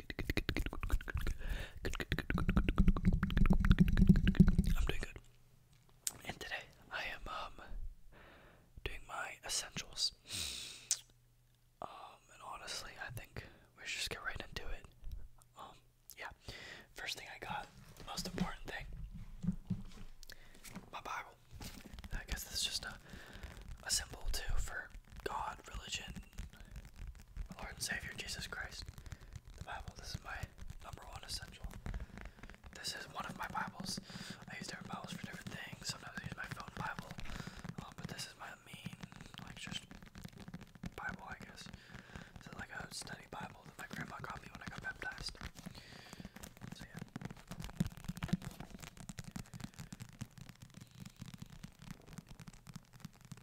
I'm doing good. And today I am um, doing my essentials. Um, and honestly I think we should just get right into it. Um, yeah. First thing I got, most important thing. My Bible. I guess this is just a a symbol too for God, religion, my Lord and Savior Jesus Christ. The Bible. This is my number one essential. This is one of my Bibles. I use different Bibles for different things. Sometimes I use my phone Bible, uh, but this is my main, like, just Bible, I guess. It's like a study Bible that my grandma got me when I got baptized. So, yeah.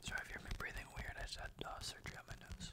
Sorry if you hear me breathing weird. I just had uh, surgery on my nose.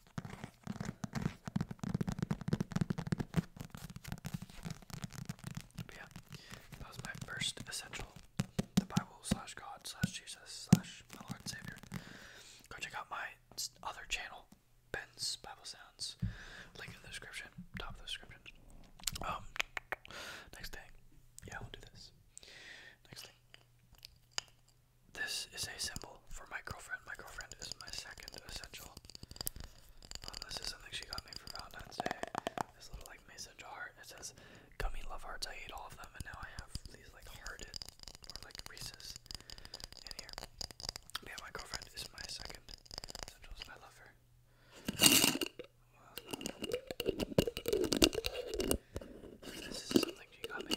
yeah, that was my first essential, the Bible God Jesus my Lord and Savior. Go check out my other channel, Ben's Bible Sounds. Link in the description, top of the description. Um, next thing, yeah, we'll do this. Next thing, this is a symbol for my girlfriend. My girlfriend is my second essential. Um, this is something she got me for Valentine's Day. This little like mason jar. It says gummy love hearts. I hate all of them, and now I have these like hearted or like Reese's in here. Yeah, my girlfriend is my second essential, I love her. this is something she got me.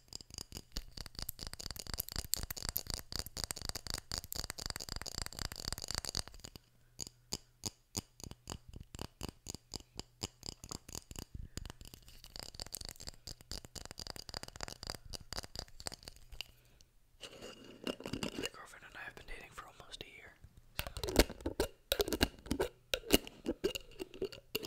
My girlfriend and I have been dating for almost a year. So.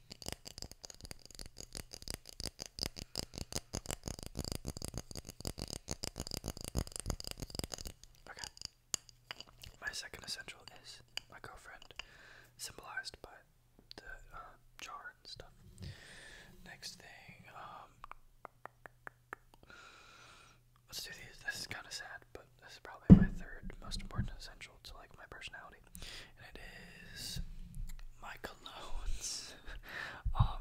Okay. My second essential is my girlfriend, symbolized by the uh, jar and stuff. Next thing, um, let's do these. This is kind of sad, but this is probably my third most important essential to like my personality it is my colognes. um,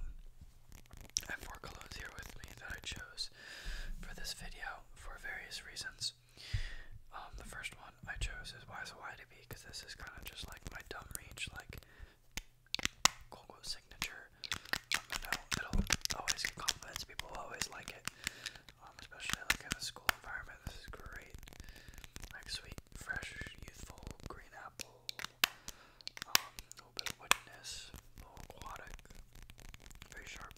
I have four colognes here with me that I chose for this video for various reasons. Um, the first one I chose is Wise Why to Be because this is kind of just like my dumb reach, like Gogo signature. Um, I know it'll always get compliments. People always like it, um, especially like in a school environment flavor. great. Like sweet, fresh, youthful green apple. Um, a little bit of woodiness, aquatic, very sharp.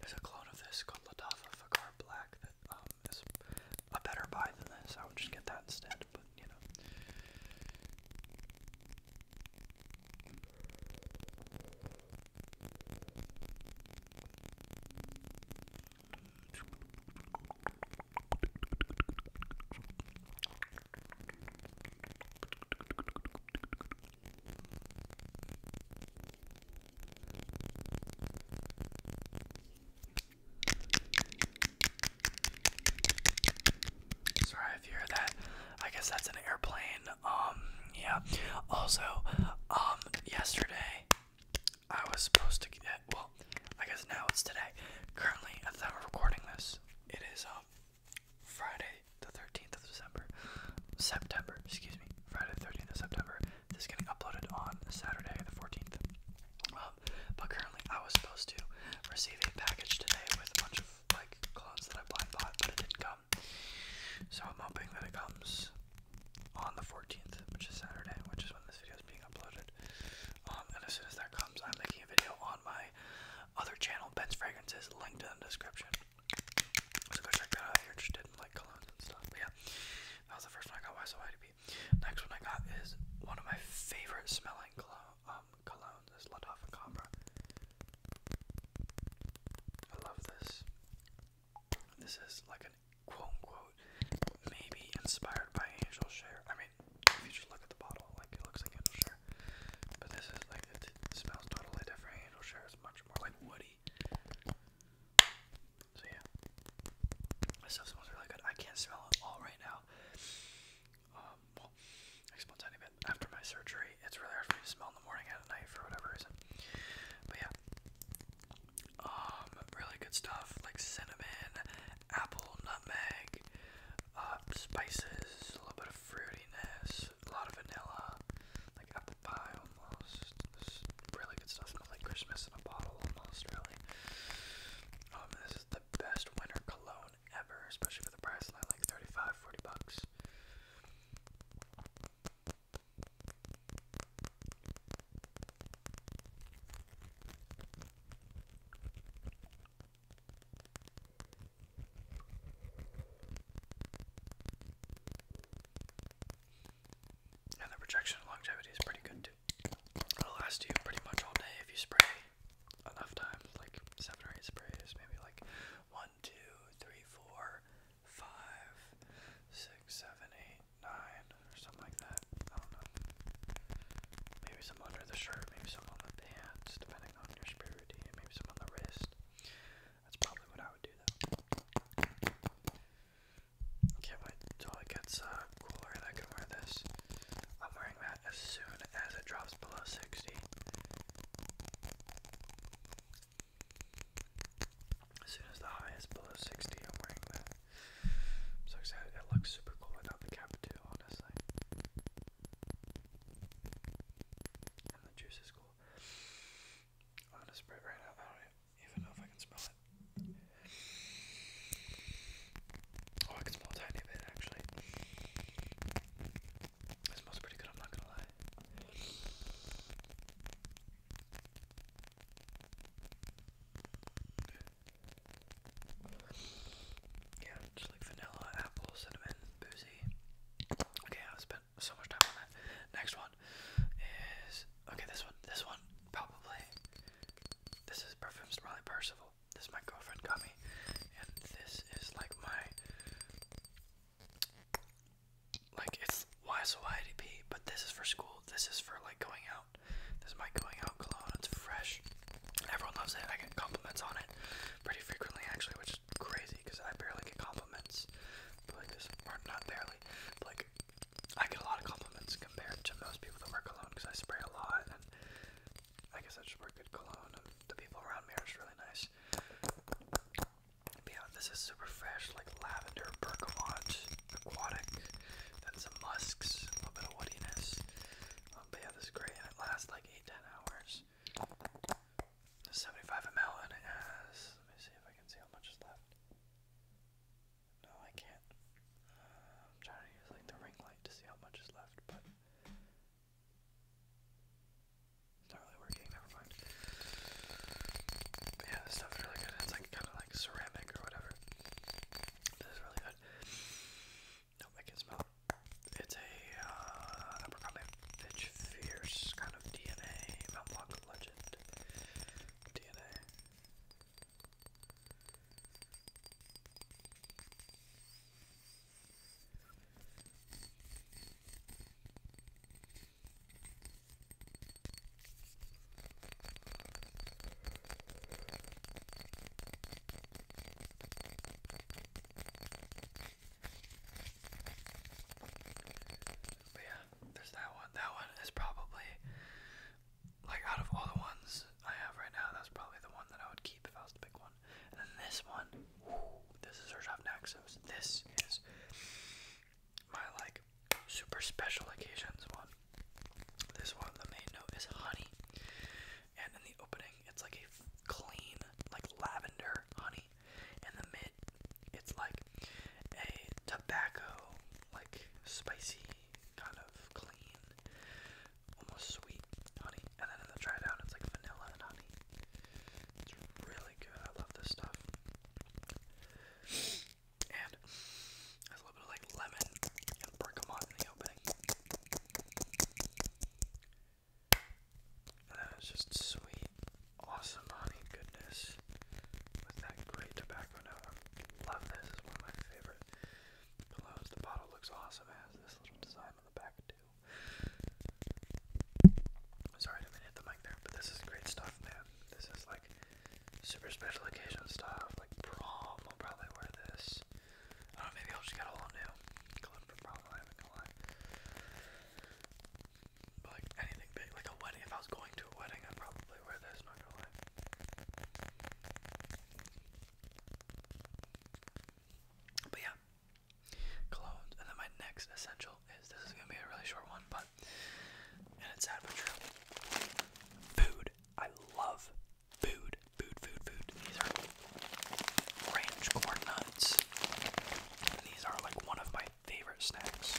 There's a, clone of this called Ladafa Fakar Black that um, is a better buy than this. I would just get that instead, but you know. Sorry if hear that. I guess that's an airplane. Um, yeah. Also, um, yesterday I was supposed to get, well, I guess now it's today. Currently, at the time of recording this, it is um, Friday the 13th of December, September, excuse me, Friday the 13th of September. This is getting uploaded on Saturday the 14th. Um, but currently, I was supposed to receive a package today with a bunch of like clothes that I blind bought, but it didn't come. So I'm hoping that it comes on the 14th, which is Saturday, which is when this video is being uploaded. Um, and as soon as that comes, I'm making a video on my other channel, Ben's Fragrances, linked in the description. So go check that out if you're interested in like colognes and stuff. But yeah, that was the first one I got, YSOIDB. Next one I got is one of my favorite smelling cologne, um, colognes, is La Dove Cambra. I love this. This is like an quote unquote maybe inspired by angel share. I mean, if you just look at the bottle, like it looks like angel share, but this is like it smells totally different. Angel share is much more like woody. So yeah, this stuff smells really good. I can't smell it all right now. Um, well, I smell tiny bit after my surgery. It's really hard for me to smell in the morning and at night for whatever reason. But yeah, um, really good stuff like cinnamon, apple, nutmeg, uh, spices, a little bit of fruitiness, a lot of vanilla, like apple pie almost. This really good stuff smells like Christmas in a bottle almost, really. Um, this is the best winter cologne ever, especially for the price, like 35, 40 bucks. And the projection longevity is pretty good too. It'll last you pretty much all day if you spray enough times, like seven or eight sprays, maybe like one, two, three, four, five, six, seven, eight, nine or something like that. I don't know. Maybe some under the shirt, maybe some on the pants, depending on your spirity, and maybe some on the wrist. That's probably what I would do though. Can't wait until it gets uh, cooler and I can wear this. I'm wearing that as soon as it drops below 60. As soon as the high is below 60, I'm wearing that. so excited. It looks super cool without the cap, too, honestly. And the juice is cool. I'm gonna spray it right now. I don't even know if I can smell it. Oh, I can smell a tiny bit actually. It smells pretty good, I'm not gonna lie. Yeah, just like vanilla, apple, cinnamon, boozy. Okay, i spent so much time on that. Next one is okay. This one, this one, probably. This is perfumes Riley Percival. This my girlfriend got me, and this is like my like it's YSYDP, but this is for school. This is for like going out. This is my going out cologne. It's fresh. Everyone loves it. I get compliments on it pretty frequently, actually, which is crazy because I barely get compliments. But like this, or not barely. like I get a lot of compliments compared to most people that work alone because I spray a lot, and I guess I just work at cologne, and the people around me are really nice yeah, this is super fresh, like lavender, bergamot, aquatic, That's some musks, a little bit of woodiness. Um, but this great, it lasts like 8 hours. 75 ml, and Let me see if I can see how much is left. No, I can't. Uh, I'm trying to use like the ring light to see how much is left, but yeah, this stuff's really good. It's like kind of like ceramic or whatever. This is really good. Nope, I can smell It's a, uh, Fierce kind of DNA, Mount Legend DNA. But yeah, there's that one. That one is probably like out of all the ones I have right now, that's probably the one that I would keep if I was to pick one. And then this one, this is Surge Off Naxos. This is my like super special occasions one. This one, the main note is honey, and in the opening, it's like a clean, like lavender honey. In the mid, it's like a tobacco, like spicy, kind of clean, almost sweet honey. And then in the dry down, it's like vanilla and honey. It's really good. I love this stuff. And a little bit of like lemon and bergamot in the opening. And that just sweet, awesome honey goodness with that great tobacco note. love this. is one of my favorite colognes. The bottle looks awesome. It has this little design on the back too. Sorry, I didn't hit the mic there, but this is great stuff, man. This is like super special occasion stuff, like prom. I'll probably wear this. I don't know, maybe I'll just get a whole new color for prom. But like anything big, like a wedding. If I was going to a wedding, I'd probably wear this. Not gonna But yeah, colognes. And then my next essential is this is gonna be a really short one, but and it's sad Food. I love food. Food, food, food. These are range corn nuts. And these are like one of my favorite snacks.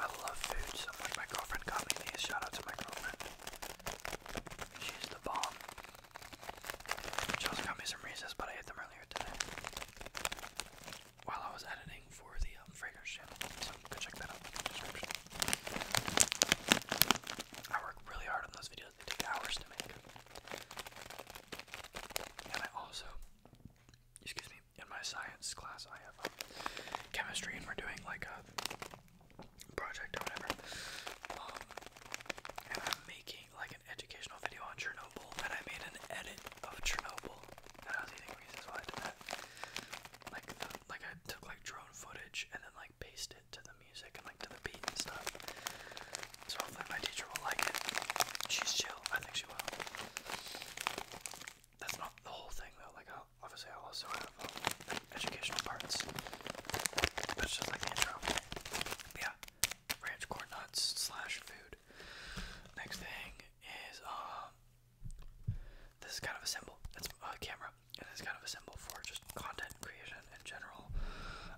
I love food so My girlfriend got me these. Shout out to my girlfriend. She's the bomb. She got me some Reese's, but I ate them earlier today while I was editing for the um, channel, so go check that out in the description. I work really hard on those videos, they take hours to make. And I also, excuse me, in my science class I have um, chemistry and we're doing like a project or whatever. Um, and I'm making like an educational video on Chernobyl, and I made an edit of Chernobyl, and I was eating reasons why I did that. Like, like I took like drone footage and then like pasted it to the music and like to the beat and stuff. So hopefully my teacher will like it. She's chill. I think she will. That's not the whole thing though. Like, obviously I also have um, educational parts. That's just like intro. yeah ranch corn nuts slash food. Next thing is um, this is kind of a symbol. That's a camera, and it's kind of a symbol for just content creation in general.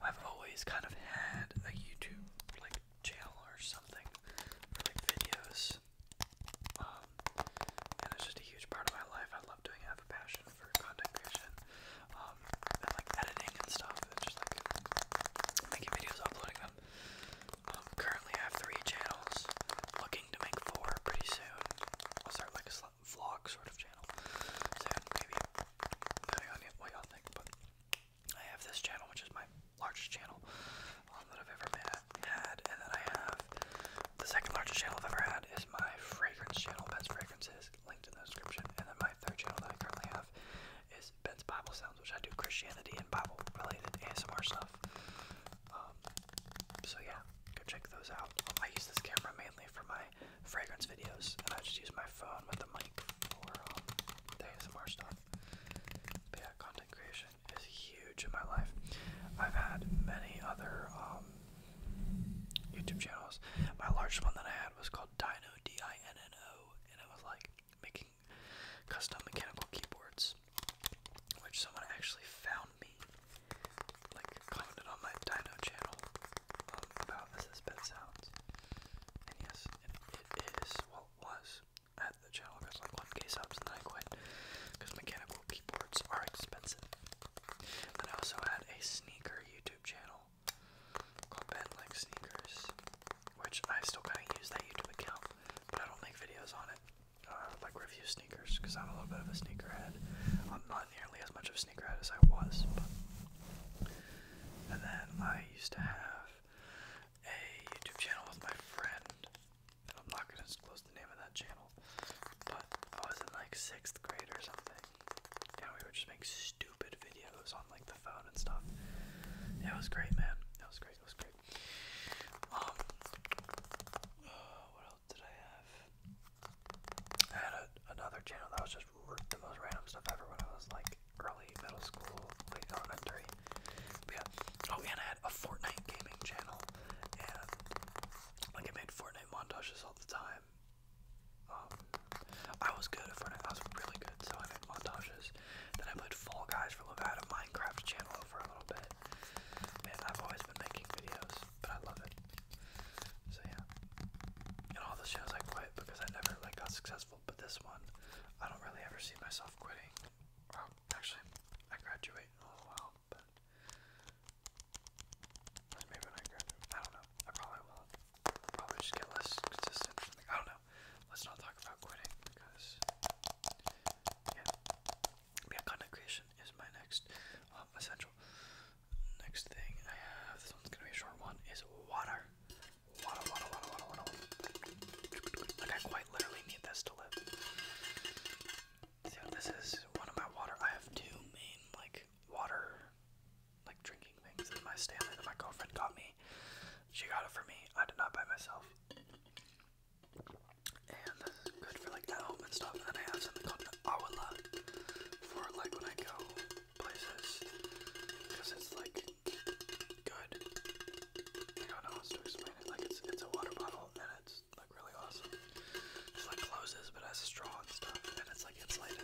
I've always kind of had a YouTube like channel or something for like videos. Um, and it's just a huge part of my life. I love doing it. I have a passion for content creation. Um, like editing and stuff, just like making videos, uploading them. Um, currently, I have three channels. Looking to make four pretty soon. I'll start like a vlog sort of channel soon, maybe. Depending on what y'all think, but I have this channel, which is my largest channel um, that I've ever had, and then I have the second largest channel I've ever had is my fragrance channel, Best Fragrances, linked in the description, and then my third channel that I currently have is Ben's Bible Sounds, which I do Christianity and Bible related ASMR stuff. Um, so yeah, go check those out. I use this camera mainly for my fragrance videos, and I just use my phone with the mic for um, the ASMR stuff. But yeah, content creation is huge in my life. I've had many other um, YouTube channels. My largest one that I had was called Dino D I N N O and I was like making custom mechanical keyboards, which someone actually found me, like commented on my Dino channel um, about this as bed sounds, and yes, it is what was at the channel. There's like 1k subs, and I quit because mechanical keyboards are expensive. And I also had a sneaker YouTube channel Open like sneakers, which I still kind of use that YouTube account, but I don't make videos on it, uh, like review sneakers, because I'm a little bit of a sneakerhead. I'm not nearly as much of a sneakerhead as I was, but. And then I used to have a YouTube channel with my friend, and I'm not going to disclose the name of that channel, but I was in like sixth grade or something, yeah, we would just make stupid videos on like the phone and stuff. Yeah, it was great, man. That was great. It was great. Um, what else did I have? I had another channel that was just the most random stuff ever when I was like early middle school, late elementary. yeah. Oh, and I had a Fortnite gaming channel, and like I made Fortnite montages all the time. Um, I was good at Fortnite. I was really good, so I made montages. Then I put Fall Guys for a little bit. I Minecraft channel for a little bit. Man, I've always been making videos, but I love it. So yeah. And all the shows I quit because I never like got successful. But this one, I don't really ever see myself quitting. actually, I graduate in a little while, but maybe when I graduate, I don't know. I probably will probably just get less consistent. I don't know. Let's not talk about quitting because yeah, Content creation is my next um, essential. Next thing I have. This one's gonna be a short one. Is water. Water, water, water, water, water. Like I quite literally need this to live. So this is one of my water. I have two main like water like drinking things in my Stanley stamina. My girlfriend got me. She got it for me. I did not buy myself. And this is good for like at home and stuff. And then I have something called an awala for like when I go places because it's like good. I don't know how to explain it. Like it's it's a water bottle and it's like really awesome. It's like closes but has straw and stuff and it's like it's insulated.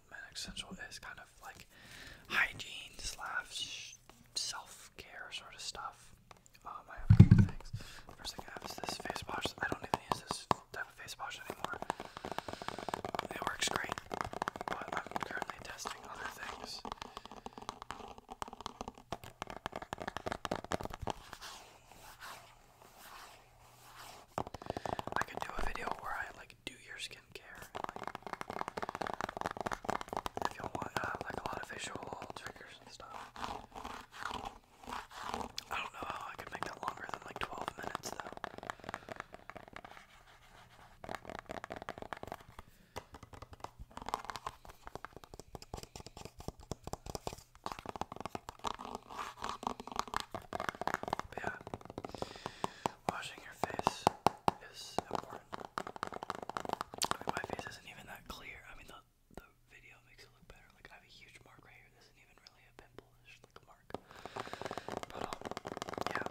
Supplement Central is kind of like hygiene slash self care sort of stuff. Um, First thing I have is this face wash. I don't even use this type of face wash anymore. It works great, but I'm currently testing other things. I could do a video where I like do your skincare. if you want uh, like a lot of visual triggers and stuff. I don't know how I could make that longer than like 12 minutes though yeah, washing your face is important. my face isn't even that clear. I mean, the the video makes it look better. Like I have a huge mark right here. This isn't even really a pimple. It's just like a mark. But um, yeah,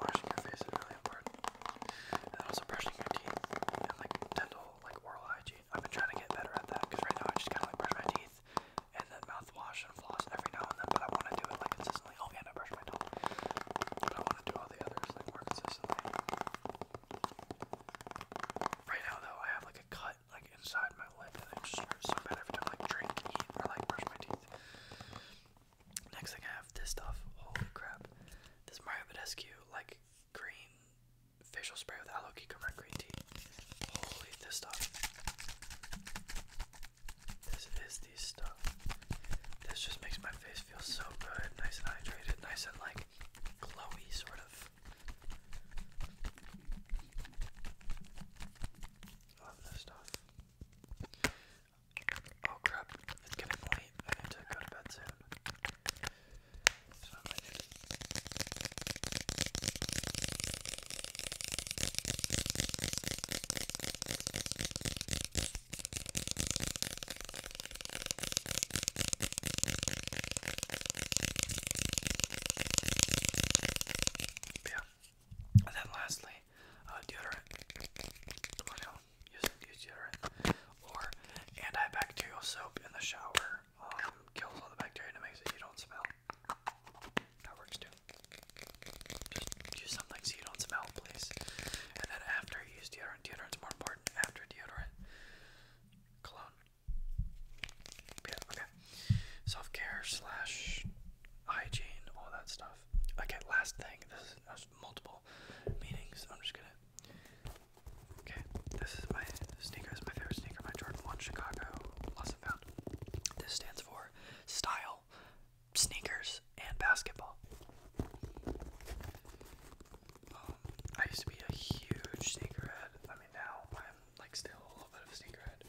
washing your face is really important. And also brushing your teeth and like dental, like oral hygiene. I've been trying to get better at that because right now I just kind of like brush my teeth and then mouthwash and floss every now and then. But I want to do it like consistently. Oh, and I brush my teeth. But I want to do all the others like more consistently. Right now, though, I have like a cut like inside my lip, and it just hurts so bad every time I like drink, eat, or like brush my teeth. Next thing I have this stuff. Holy crap! This Mario Badescu like green facial spray with aloe and green tea. Holy, this stuff. This is the stuff. This just makes my face feel so good. Nice and hydrated. Nice and like glowy, sort of. Love this stuff. Oh crap, it's getting late. I need to go to bed soon. Yeah. And then lastly, uh, deodorant. What else? Use, use deodorant or antibacterial soap in the shower. Um, kills all the bacteria and makes it you don't smell. That works too. Just use something so you don't smell, please. And then after use deodorant, deodorant's more important after deodorant. Cologne. okay. Self care slash hygiene, all that stuff. Okay, last thing. This is uh, multiple meanings. I'm just gonna. Okay, this is my sneaker. This is my favorite sneaker. My Jordan 1 Chicago, this stands for style, sneakers, and basketball. Um, I used to be a huge sneakerhead. I mean, now I'm like still a little bit of a sneakerhead,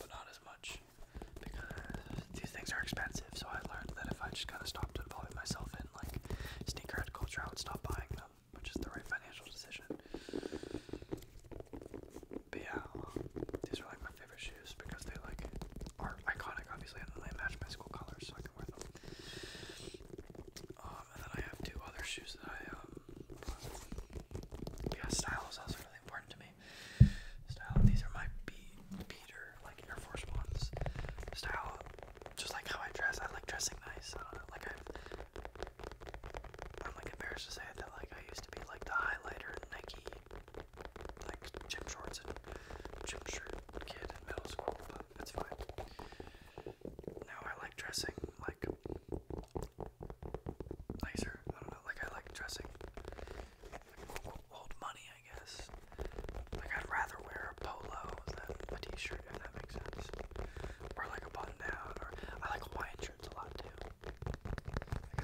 but not as much because these things are expensive. So I learned that if I just kind of stopped involving myself in like sneakerhead culture, I would stop buying them, which is the right financial decision. But yeah, these are like my favorite shoes because they like are iconic, obviously, and then they match my school colors, so I can wear them. Um, and then I have two other shoes that I um. Yeah, style is also really important to me. Style. These are my beater, like Air Force ones. Style. Just like how I dress, I like dressing nice. like I I'm like embarrassed to say it, that like I used to be like the highlighter Nike like gym shorts and gym shirt kid in middle school, but it's fine. Now I like dressing like nicer. I don't know, like I like dressing like old money, I guess. Like I'd rather wear a polo than a t-shirt, if that makes sense. Or like a button down, or I like Hawaiian shirts a lot too. I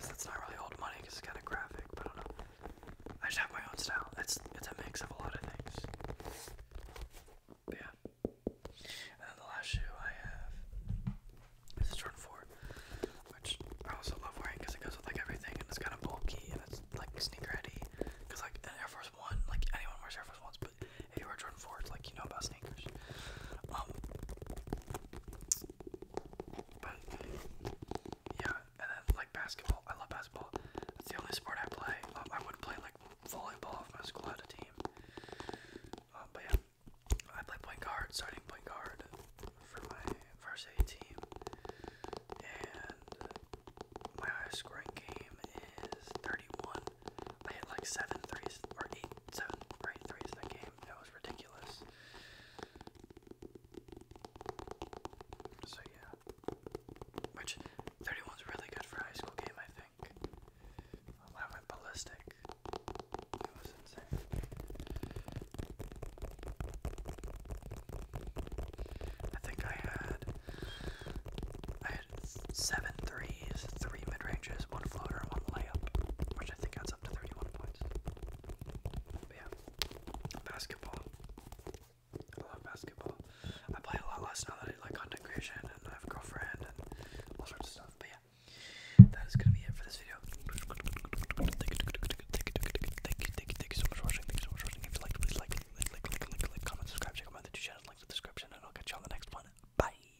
that's not really old money because it's kind of graphic, I don't know. I just have my own style. It's it's a mix of a lot of things. yeah. And then the last shoe I have is a Jordan 4, which I also love wearing because it goes with like everything and it's kind of bulky and it's like sneakerheady. Because like Air Force One, like anyone wears Air Force Ones, but if you wear Jordan 4s, like you know about sneakers. Um, but yeah, and then like basketball. I love basketball. That's the only sport I play. Um, I would play like volleyball if my school had a team. Um, but yeah, I play point guard, starting point guard for my varsity team. And my highest scoring game is 31 I had like seven threes or eight, seven or eight threes that game. It was ridiculous. So yeah, which 31's really good for high school game, I think. I went ballistic. It was insane. I think I had I had seven threes three mid ranges, one floater, one layup, which I think adds up to 31 points. yeah, basketball. I love basketball. I play a lot less now that I like content creation and I have a girlfriend and all sorts of stuff. But yeah, that is gonna be it for this video. Thank you, thank you, thank you, so much for watching. Thank you please like, like, like, like, like, like, comment, subscribe, check out my YouTube channel, link in the description, and I'll catch you on the next one. Bye.